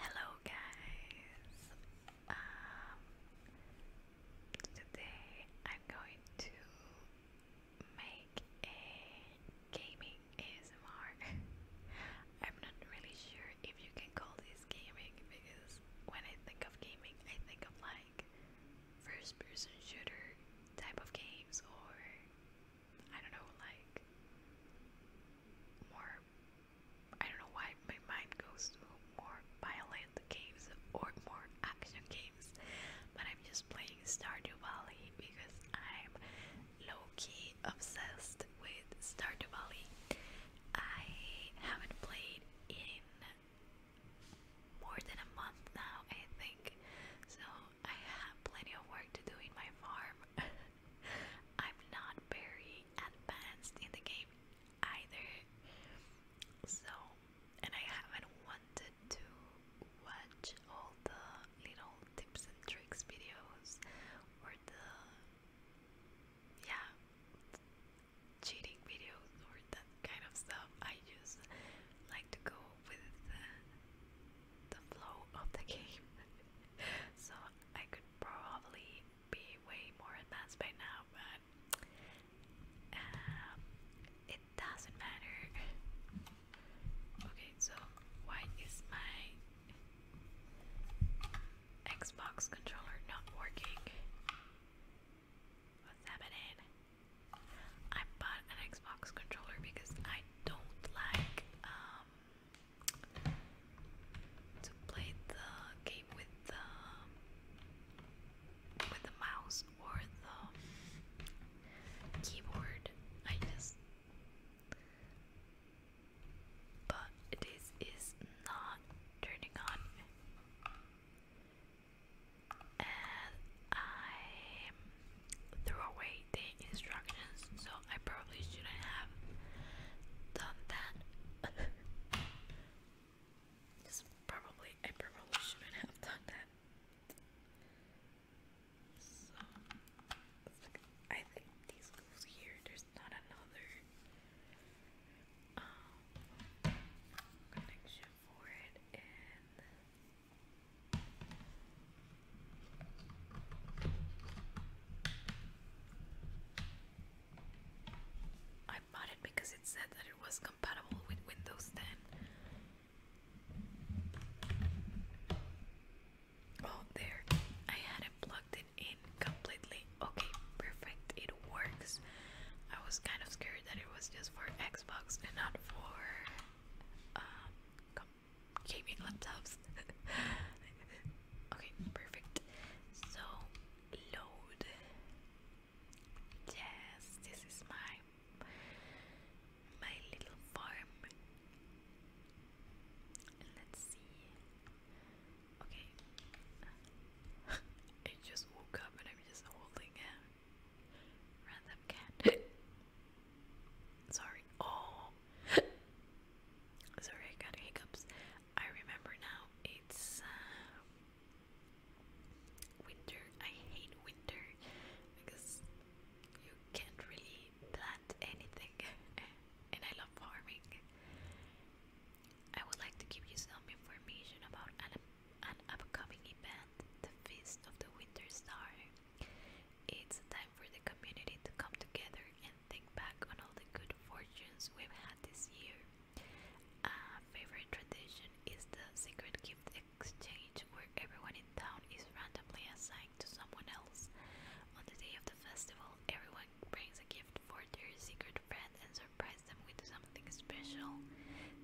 Hello, guys. Um, today I'm going to make a gaming ASMR. I'm not really sure if you can call this gaming because when I think of gaming, I think of like first person shooter type of games or I don't know like more I don't know why my mind goes to more violent games or more action games but I'm just playing Stardew Valley because I'm low-key obsessed with Stardew Valley I haven't played in more than a month now, I think. So I have plenty of work to do in my farm. I'm not very advanced in the game either. So, and I haven't wanted to watch all the little tips and tricks videos or the yeah cheating videos or that kind of stuff. I just like to go with the, flow of the game. so I could probably be way more advanced by now, but um, it doesn't matter. okay, so why is my Xbox controller not working? What's happening? I bought an Xbox controller because I don't like um to play the game with the with the mouse or the keyboard. I just but this is not turning on. I threw away the instructions, so I probably shouldn't have done that. probably, I probably shouldn't have done that. So, I think this goes here. There's not another um, connection it I bought it because it said that it was compatible with Windows 10. Oh, there. I hadn't plugged it in completely. Okay, perfect. It it works. I was kind of scared that it was just for Xbox and not for um, gaming laptops. okay, perfect. So load. Yes, this is my my little farm. Let's see. Okay. I just woke up and i just holding a random cat. Sorry. Oh. Sorry, I got hiccups. I remember now. It's uh, winter. I hate winter because you can't really plant anything, and I love farming. I would like to give you some information about animals an upcoming event, the Feast of the Winter Star. It's time for the community to come together and think back on all the good fortunes we've had this year. A favorite tradition is the secret gift exchange, where everyone in town is randomly assigned to someone else. On the day of the festival, everyone brings a gift for their secret friend and surprise them with something special.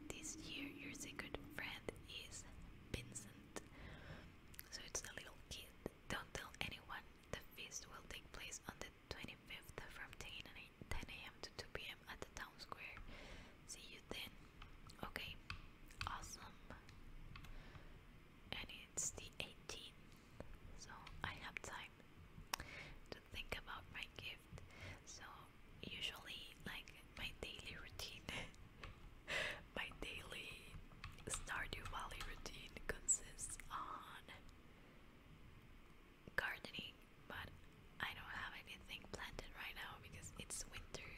This year, your secret friend is Vincent. So it's a little kid. Don't tell anyone. The feast will take place on the 25th from 10 a.m. to 2 p.m. at the town square. See you then. Okay, awesome. And it's the 18th, so I have time to think about my gift. So usually like my daily routine, my daily Stardew Valley routine consists on gardening, but I don't have anything planted right now because it's winter.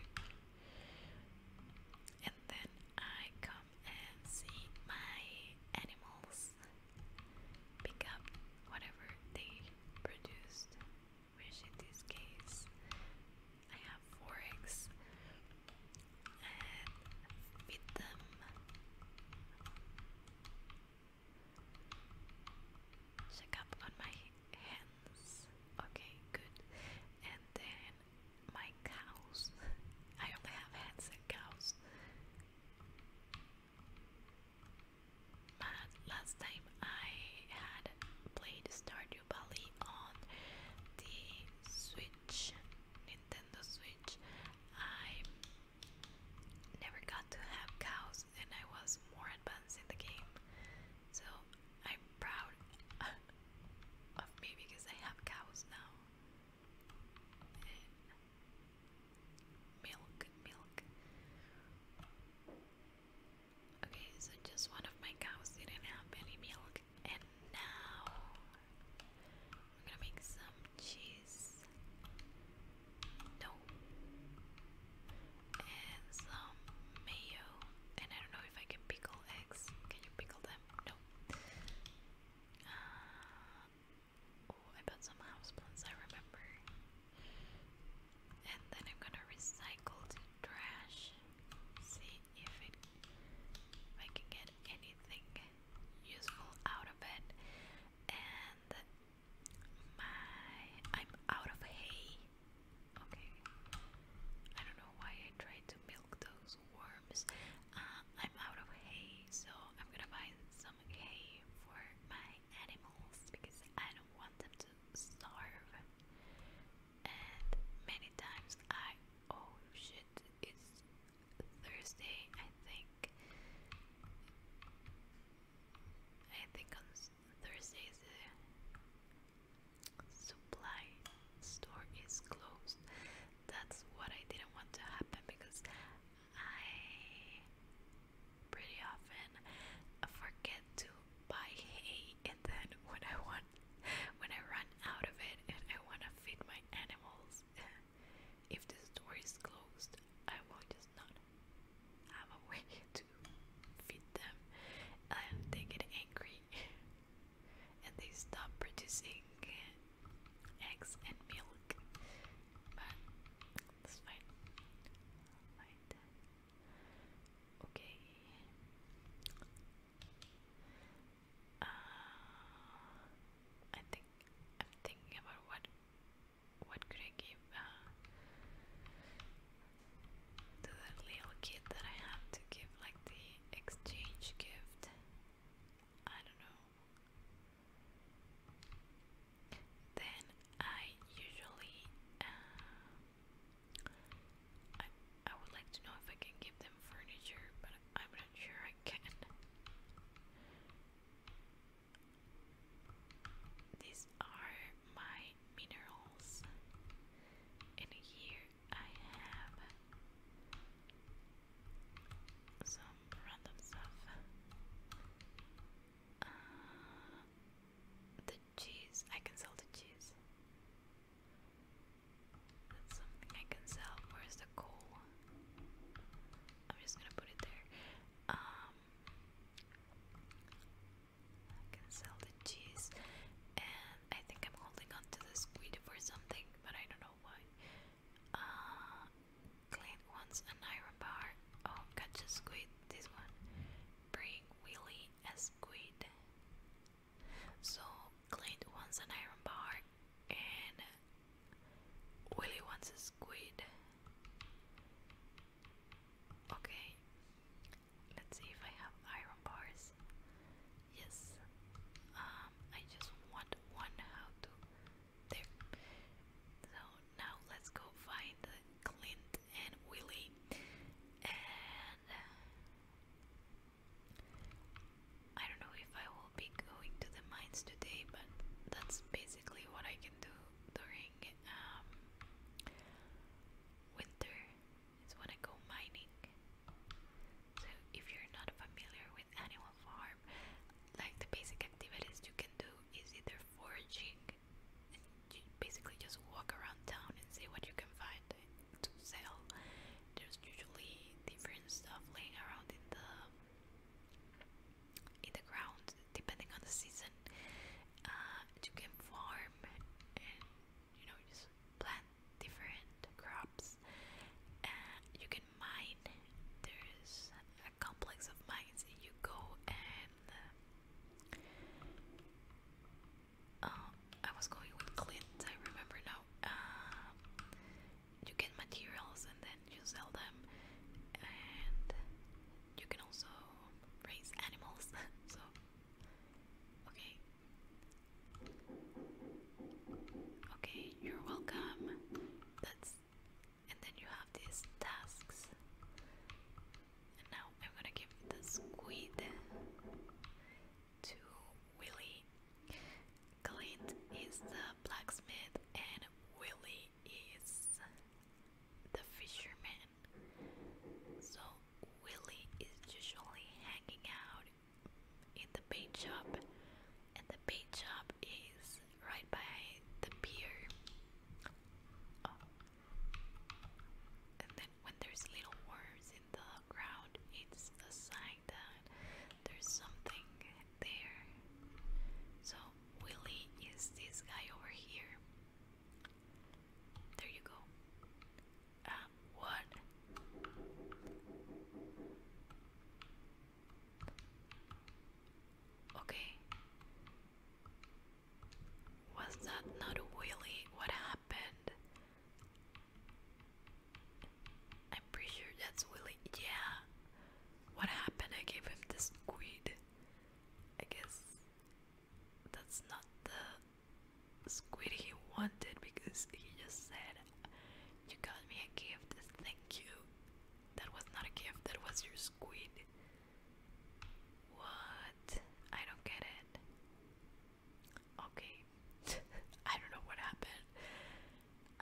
And then I come and see my animals, pick up whatever they produced, which in this case I have four eggs and feed them check up on my hands okay good and then my cows I only have hands and cows last time I had played Stardew Valley on the Switch, Nintendo Switch, I never got to have cows and I was more advanced in the game. So I'm proud of me because I have cows now. milk, milk. Okay, so just one of my cows didn't have any milk, and now I'm gonna make some cheese. No. And some mayo. And I don't know if I can pickle eggs. Can you pickle them? No. Uh, oh, I bought some houseplants, I remember and then I'm gonna recycle trash. See if I can get anything useful out of it. And my I'm out of hay. Okay. I don't know why I tried to milk those worms. Uh, I'm out of hay, so I'm gonna buy some hay for my animals because I don't want them to starve. And many times I oh shit, it's Thursday, I think. I think on Thursday supply store is closed. That's what I didn't want to happen because I pretty often I forget to buy hay and then when I want when I run out of it and I want to feed my animals if the store is closed I will just not have a way to feed them and they get angry and they stop producing eggs and milk but it's fine Okay. Uh, I think I'm thinking about what what could I give uh, to that little kid that I have to give like the exchange gift. I don't know then I usually uh, I, I would like to know if I can give them furniture but I'm not sure I can these are my minerals and here I have some random stuff uh, the cheese. I can sell the cheese. That's something I can sell. Where's the coal? I'm just gonna put it there. Um, I can sell the cheese, and I think I'm holding on the squid for something, but I don't know why. Uh, Clint wants an iron bar. Oh, gotcha, squid. This one bring Willie a squid. So Clint wants an iron bar and Willie wants a squid. Okay, let's see if I have iron bars. Yes, um, I just want one. How to? There. So now let's go find Clint and Willie and uh, I don't know if I will be going to the mines today but that's basically what I can do during um, winter is when I go mining so if you're not familiar with Animal Farm like the basic activities you can do is either foraging bag and you basically just walk around town and see what you can find to sell. There's usually different stuff laying around in the in the ground depending on the season. Uh, you can farm and you know just plant different crops. Uh, you can mine. There's a complex of mines. You go and uh, uh, I was going with Clint, I remember now. Uh, you get materials and then you sell them, and you can also raise animals. so, okay. Okay, you're welcome. That's and then you have these tasks now I'm gonna give the squid to Willy. Clint is the blacksmith, and Willy is the fisherman. So, Willy is usually hanging out in the bait shop, and the bait shop is right by the pier. And then when there's little worms in the ground, it's a sign that there's something there. So Willie is this guy over here. There you go. Uh, what? Okay. Was that not Willy? What happened? I'm pretty sure that's Willy. Yeah. What happened? I gave him the squid. I guess that's not the squid he wanted because he just said, You got me a gift, thank you. That was not a gift, that was your squid. What? I don't get it. Okay. I don't know what happened.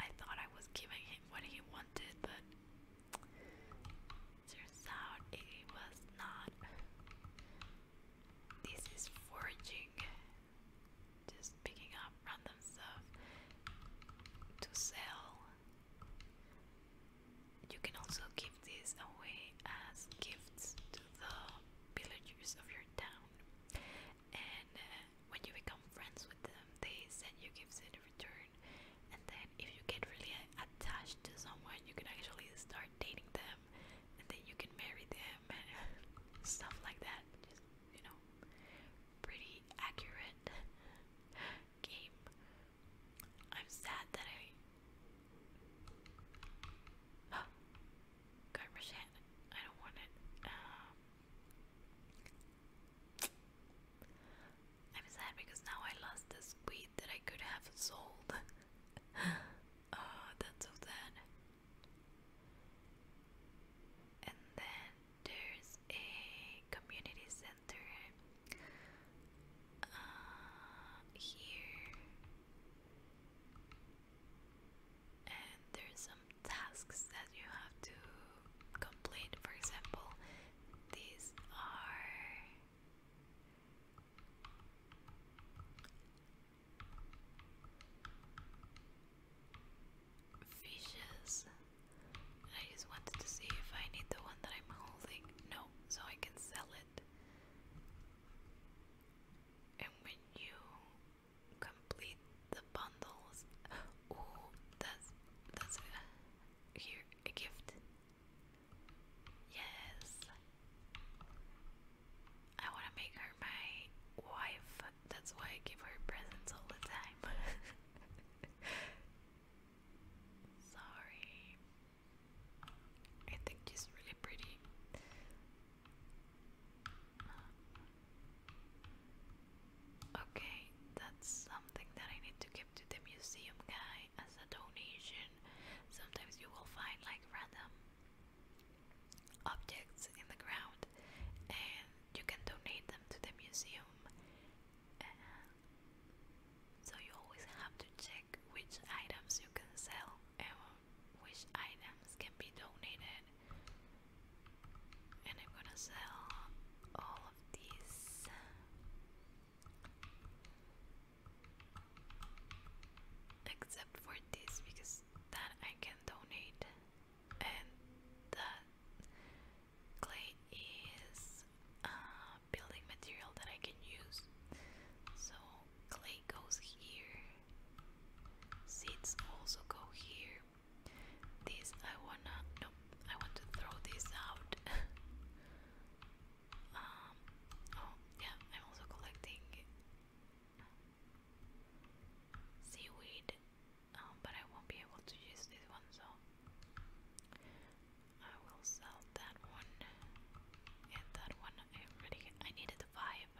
I thought I was giving him what he wanted, but turns out it was not. This is foraging. Just picking up random stuff to sell. You can also give these away as gifts to the villagers of your town. And uh, when you become friends with them, they send you gifts in return. And then, if you get really attached to someone, you can actually start dating them, and then you can marry them and stuff like that. you know, pretty accurate game. I'm sad that I. Oh, garbage I don't want it. Um, I'm sad because now I lost this weed that I could have sold. oh, that's so sad. And then there's a community center uh, here, and there's some tasks that you have to complete. For example, these are fishes. I just wanted to see if I need the one that I'm holding. No, so I can sell it. And when you complete the bundles, oh, that's that's here a gift. Yes, I want to make her my wife. That's why I give her presents all the time. Sorry. I think she's really pretty. Okay, that's something that I need to give to the museum guy as a donation. Sometimes you will find like random objects in the ground and you can donate them to the museum. so you always have to check which items you can sell and which items can be donated. And I'm gonna sell all of these. Except for this, because that I can donate, and that clay is um, building material that I can use. So clay goes here. Seeds also go here. This I wanna no, I want to throw this out. um oh yeah, I'm also collecting seaweed, um, but I won't be able to use this one so I will sell that one and that one. I already I needed the vibe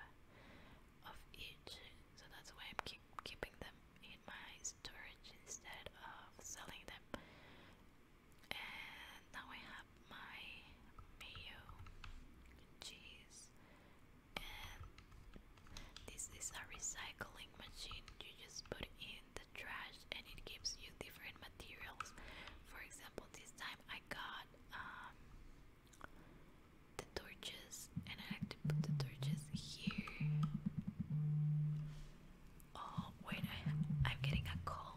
of each, so that's why I'm keeping them in my storage instead of selling them. And now I have my mayo cheese, and this is a recycling machine. You just put in trash and it gives you different materials. For example, this time I got um, the torches, and I like to put the torches here. Oh, wait, I, I'm getting a call.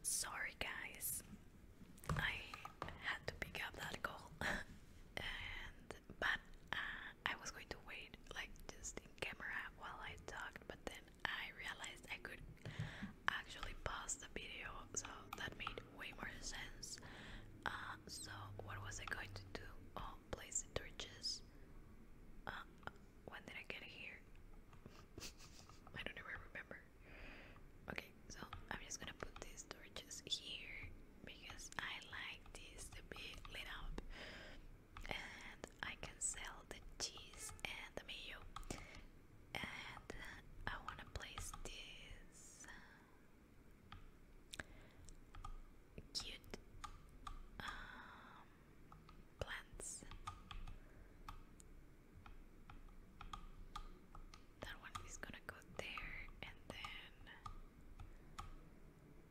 Sorry, guys, I had to pick up that call, and but uh, I was going to wait like just in camera while I talked, but then I realized I could actually pause the video, so that made way more sense. Uh, so what was I going to do? Oh, place torches. Uh, when did I get here? I don't ever remember. Okay, so I'm just gonna put these torches here because I like this to be lit up, and I can sell the cheese and the mayo and I want to place this um, cute um, plants. That one is gonna go there, and then,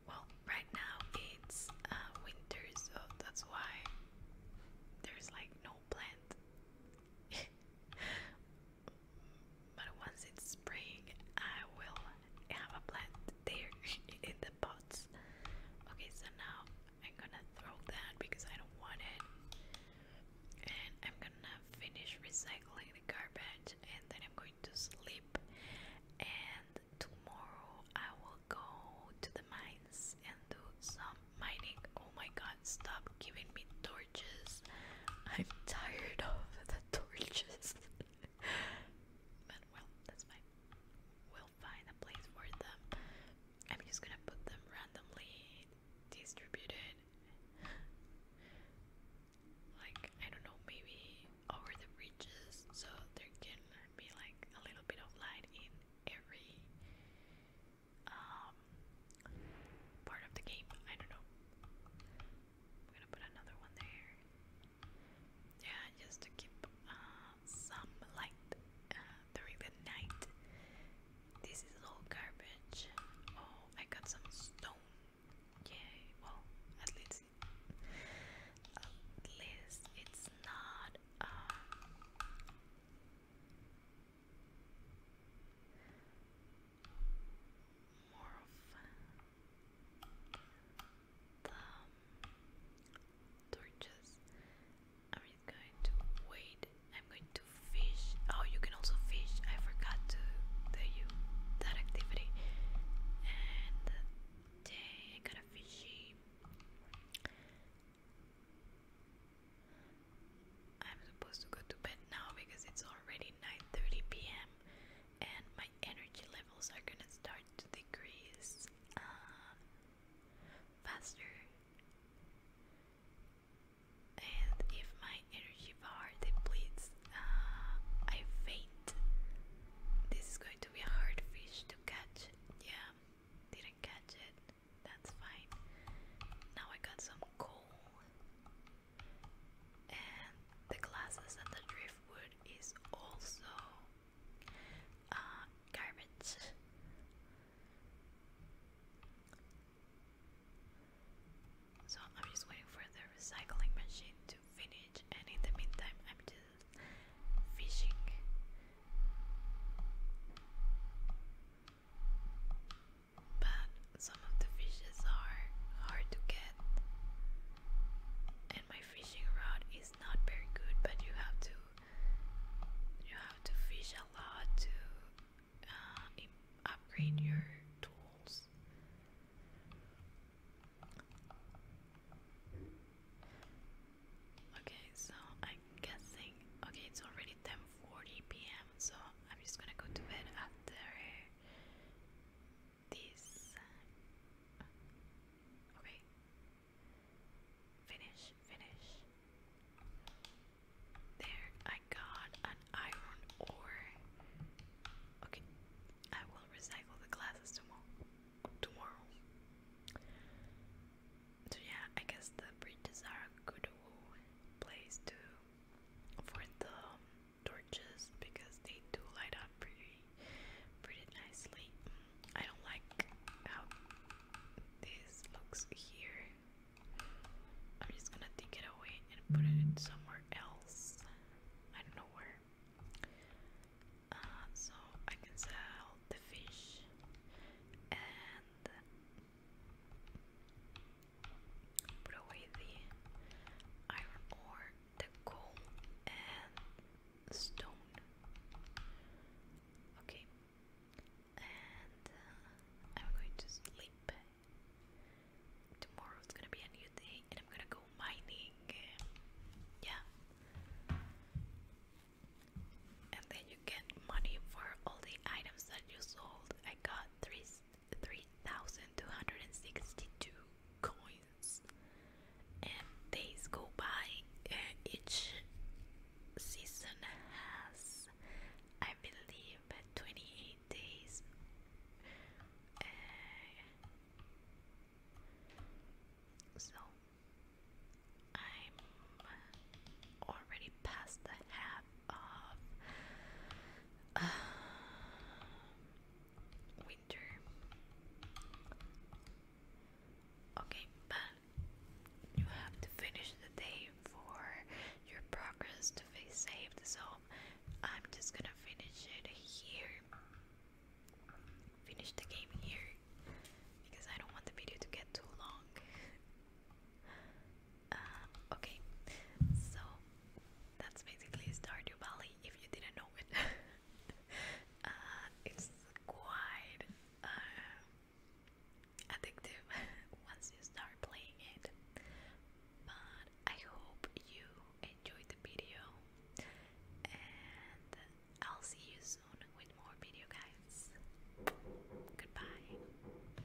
well, right now it's uh, winter, so that's why there's like no plant but once it's spring, I will have a plant there in the pots. Okay, so now I'm gonna throw that because I don't want it. And I'm gonna finish recycling the garbage and then I'm going to sleep. And tomorrow I will go to the mines and do some mining. Oh my god, stop giving me torches. I'm tired of the torches. but well, that's fine. We'll find a place for them. I'm just gonna put them randomly distributed. Like, I don't know, maybe over the bridges so there can be like a little bit of light in every um, part of the game. I don't know. I'm gonna put another one there. Yeah, just to keep uh, some light uh, during the night. This is all garbage. Oh, I got some stone. Yay! Well, at least, at least it's not. Uh, more of the torches. I'm going to wait. I'm going to fish. Oh, you can also fish. I forgot to tell you that activity. And dang, I got a fishy. I'm supposed to go to bed now because it's already 9:30 p.m. and my energy levels are gonna start to decrease uh, faster. And if my energy bar depletes, uh, I faint. This is going to be a hard fish to catch. Yeah, didn't catch it. That's fine. Now I got some coal. And the glasses and the driftwood is also uh, garbage. So I'm just waiting for the recycling machine to finish, and in the meantime, I'm just fishing but some of the fishes are hard to get, and my fishing rod is not very good. But you have to you have to fish a lot to uh, upgrade your tools. Okay, so I'm guessing. Okay, it's already 10:40 p.m. So I'm just gonna go to bed after this. Okay. Finish, finish. There, I got an iron ore. Okay, I will recycle the glasses tomorrow. Tomorrow. So yeah, I guess the bridges are a good place to for the torches because they do light up pretty pretty nicely. I don't like how this looks here. I'm just gonna take it away and put it somewhere else. I don't know where. Uh, so I can sell the fish and put away the iron ore, the coal, and stone. Okay, and uh, I'm going to sleep. Tomorrow's gonna be a new day, and I'm gonna go mining. Yeah. And then you get money for all the items that you sold. I got three 3,262 coins, and days go by. each season has, I believe, 28 days. Uh, so I'm already past the half of winter. Okay, but you have to finish the day for your progress to be saved, so I'm just gonna finish it here. Finish the game here because I don't want the video to get too long. Uh, okay, so that's basically Stardew Valley if you didn't know it. Uh, it's quite uh, addictive once you start playing it. But I hope you enjoyed the video, and I'll see you soon with more video, guys. Goodbye.